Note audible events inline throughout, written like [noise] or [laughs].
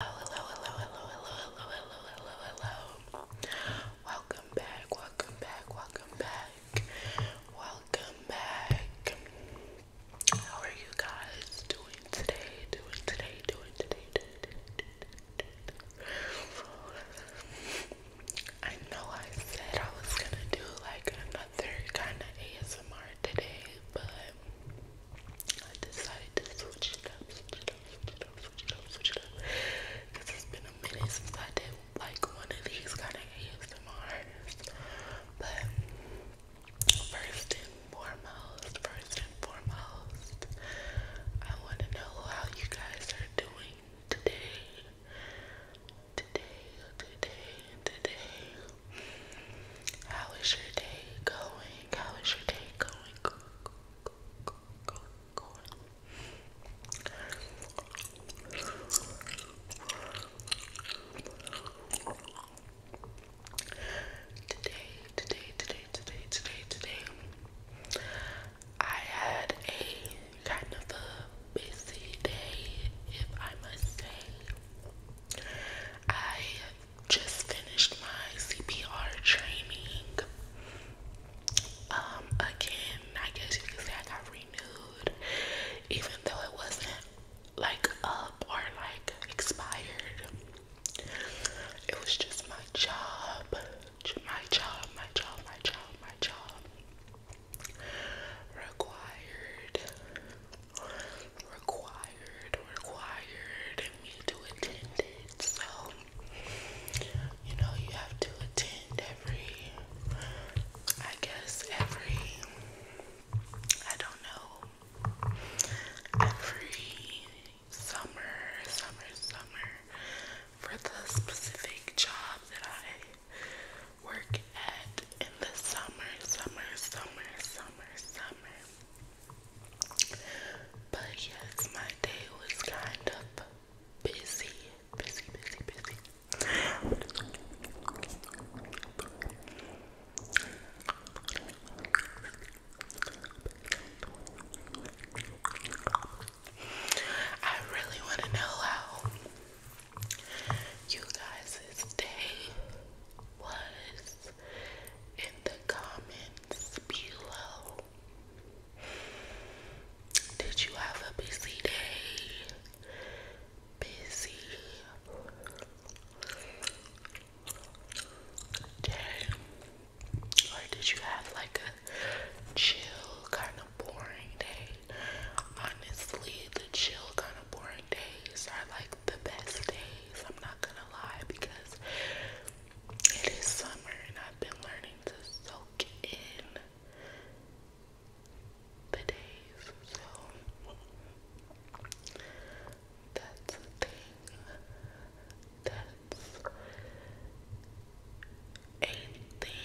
Hello, hello, hello, hello, hello, hello, hello, hello, Welcome back, welcome back, welcome back, welcome back. How are you guys Doing today, doing today, doing today. I know I said I was gonna do like another kind of ASMR today, but I decided to switch it up, switch it up, switch it up, switch it up, switch it up. Because it's been a minute since I did like one of these kind of ASMRs. But first and foremost, first and foremost, I want to know how you guys are doing today. Today, today, today. How is your day going? How is your day going. Today, today, today, today, today, today, I had a kind of a busy day, if I must say. I just finished my CPR training. Um, again, I guess you could say I got renewed, even though it wasn't like up or like expired. It was just my job, my job, my job, my job, my job required required, required me to attend it. So, you know, you have to attend every, I guess, every, I don't know, every summer, summer, summer for the specific job that I work at in the summer, summer, summer, summer, summer. But yes, my day was kind of busy, busy, busy, busy. I really want to know how you guys' day was in the comments below. Did you have a busy day? Busy day? Or did you have like a chill, kind of boring day? Honestly, the chill, kind of boring days are like the best days. I'm not gonna lie, because it is summer and I've been learning to soak in the days, so that's a thing. That's a thing.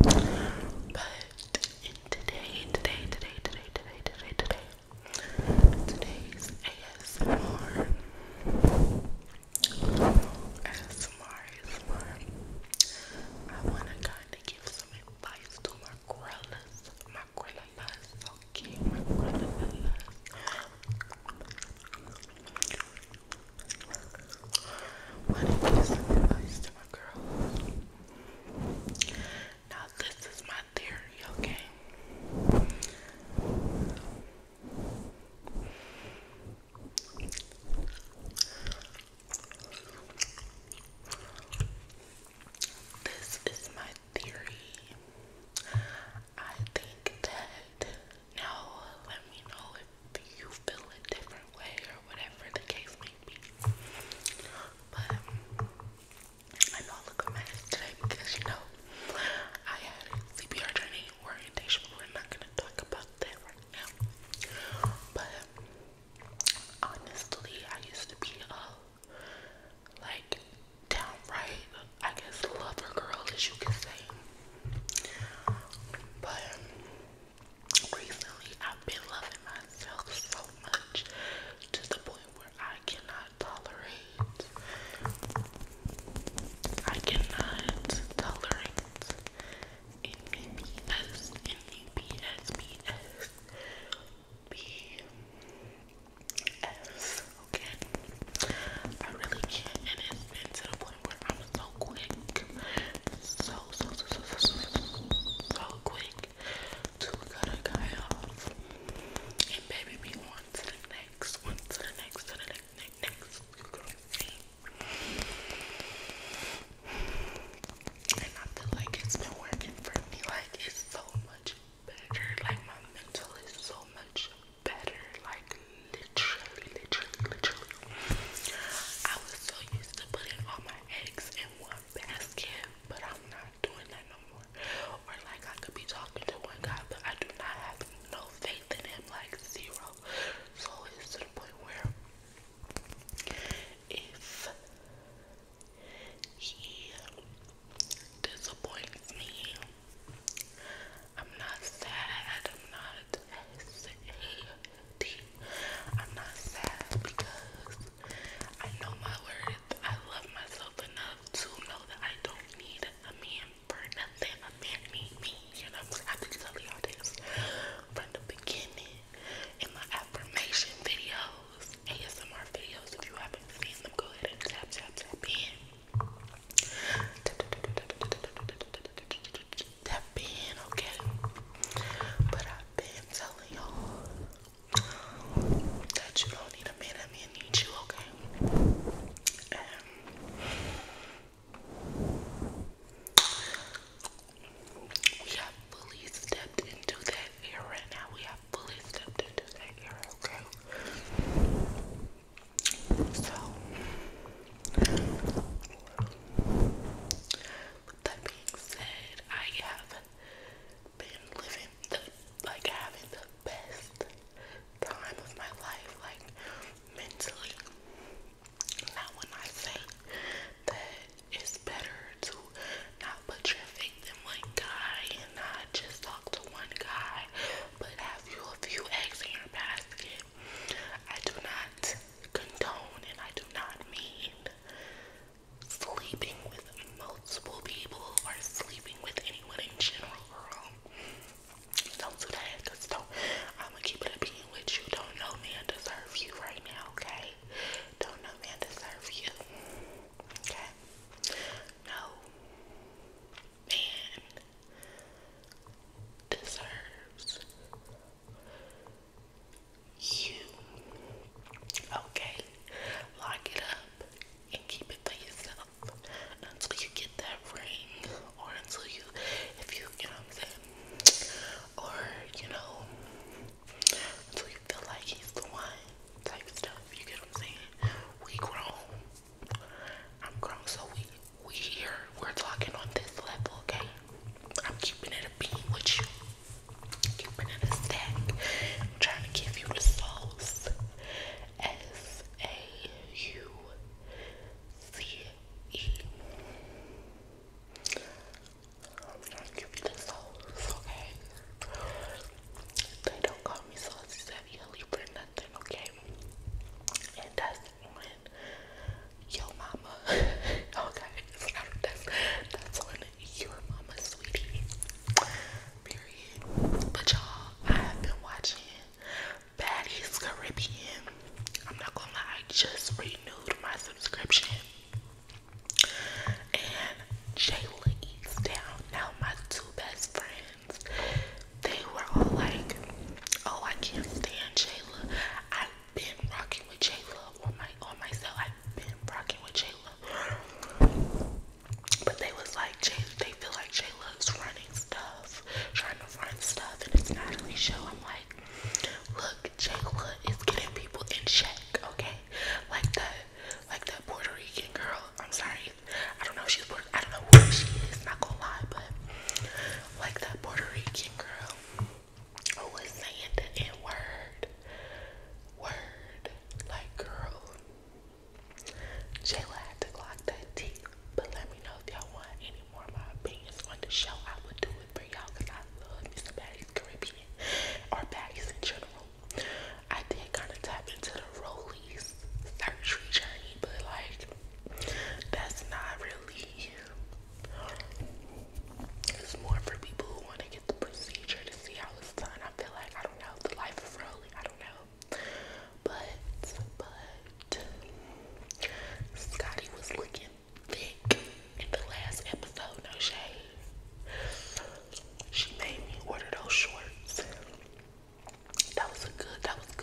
But in today, today, today, today, today, today, today, today's ASMR, ASMR, ASMR, I want to kind of give some advice to my gorillas, my gorillas, okay, my gorillas. Why don't you some advice to my girl? Now this is my theory, okay? This is my theory. I think that now let me know if you feel a different way or whatever the case may be. But I know I look a mess today because you know I had CPR training orientation. We're not gonna talk about that right now. But honestly, I used to be a like downright, I guess, lover girl, as you can say. But recently I've been loving myself so much to the point where I cannot tolerate. I cannot tolerate any okay? I really can't, and it's been to the I'm so quick, so, so, so, so, so, quick to cut a guy off and maybe be on to the next, one to the next, to the next, next, next. And I feel like it's been working for me. Like, it's so much better. Like, my mental is so much better. Like, literally, literally, literally, I was so used to putting all my eggs in one basket, but I'm not doing that no more. Or like I could be talking to one guy, but I do not have no faith in him, like zero. So it's to the point where if he disappoints me, I'm not sad, I'm not sad tea. I'm not sad because I know my worth. I love myself enough to know that I don't need a man for nothing. A man need me. You know, I've been telling y'all this from the beginning in my affirmation videos, ASMR videos. If you haven't seen them, go ahead and tap, tap, tap in have been, okay? But I've been telling y'all that you don't need a man, that man needs you, okay? we have fully stepped into that era now. We have fully stepped into that era, okay? So, with that being said, I have been living the, like having the best time of my life, like mentally. Now when I say that it's better to not put your faith in one guy and not just talk to one guy, but have you a few eggs in your basket. I do not condone and I do not mean sleeping with multiple people or sleeping with anyone in general, girl. Don't do that because don't, I'm going to keep it a being with you. Don't no man deserve you right now, okay? Don't no man deserve you, okay? No man deserves you. Okay? Lock it up and keep it for yourself until you get that ring or until you, if you, you know what I'm saying? Or, you know, until you feel like he's the one type stuff. You get what I'm saying? We grown. I'm grown, so we we here, we're talking on this level, okay? I'm keeping it a bean with you. Keeping it a stack. I'm trying to give you the sauce. S A U C E. I'm trying to give you the sauce, okay? They don't call me saucy savvy for nothing, okay? And that's on Yo Mama. [laughs] okay, that's, that's on Your Mama, sweetie. Period. But y'all, I have been watching Baddies Caribbean. I'm not gonna lie, I just renewed my subscription. And Jayla eats down. Now my two best friends they were all like, oh, I can't stand Jayla. I've been rocking with Jayla on my on myself. I've been rocking with Jayla. But they was like, they feel like Jayla's running stuff, trying to run stuff, and it's not really show. I'm like, look, Jayla is getting people in check, okay? Like that, like that Puerto Rican girl. I'm sorry, I don't know if she's Puerto. I don't know where she is. Not gonna lie, but like that Puerto Rican girl who was saying the N word, word, like girl. Jayla had to block that tea, but let me know if y'all want any more of my opinions on the show. I would do it for y'all because I love Mr. Baddies Caribbean or Baddies in general. I did kind of tap into the Rollies surgery journey, but like that's not really it's more for people who want to get the procedure to see how it's done. I feel like I don't know the life is rolling, I don't know. But but Scotty was looking thick in the last episode, no shade. She made me order those shorts. That was good that was good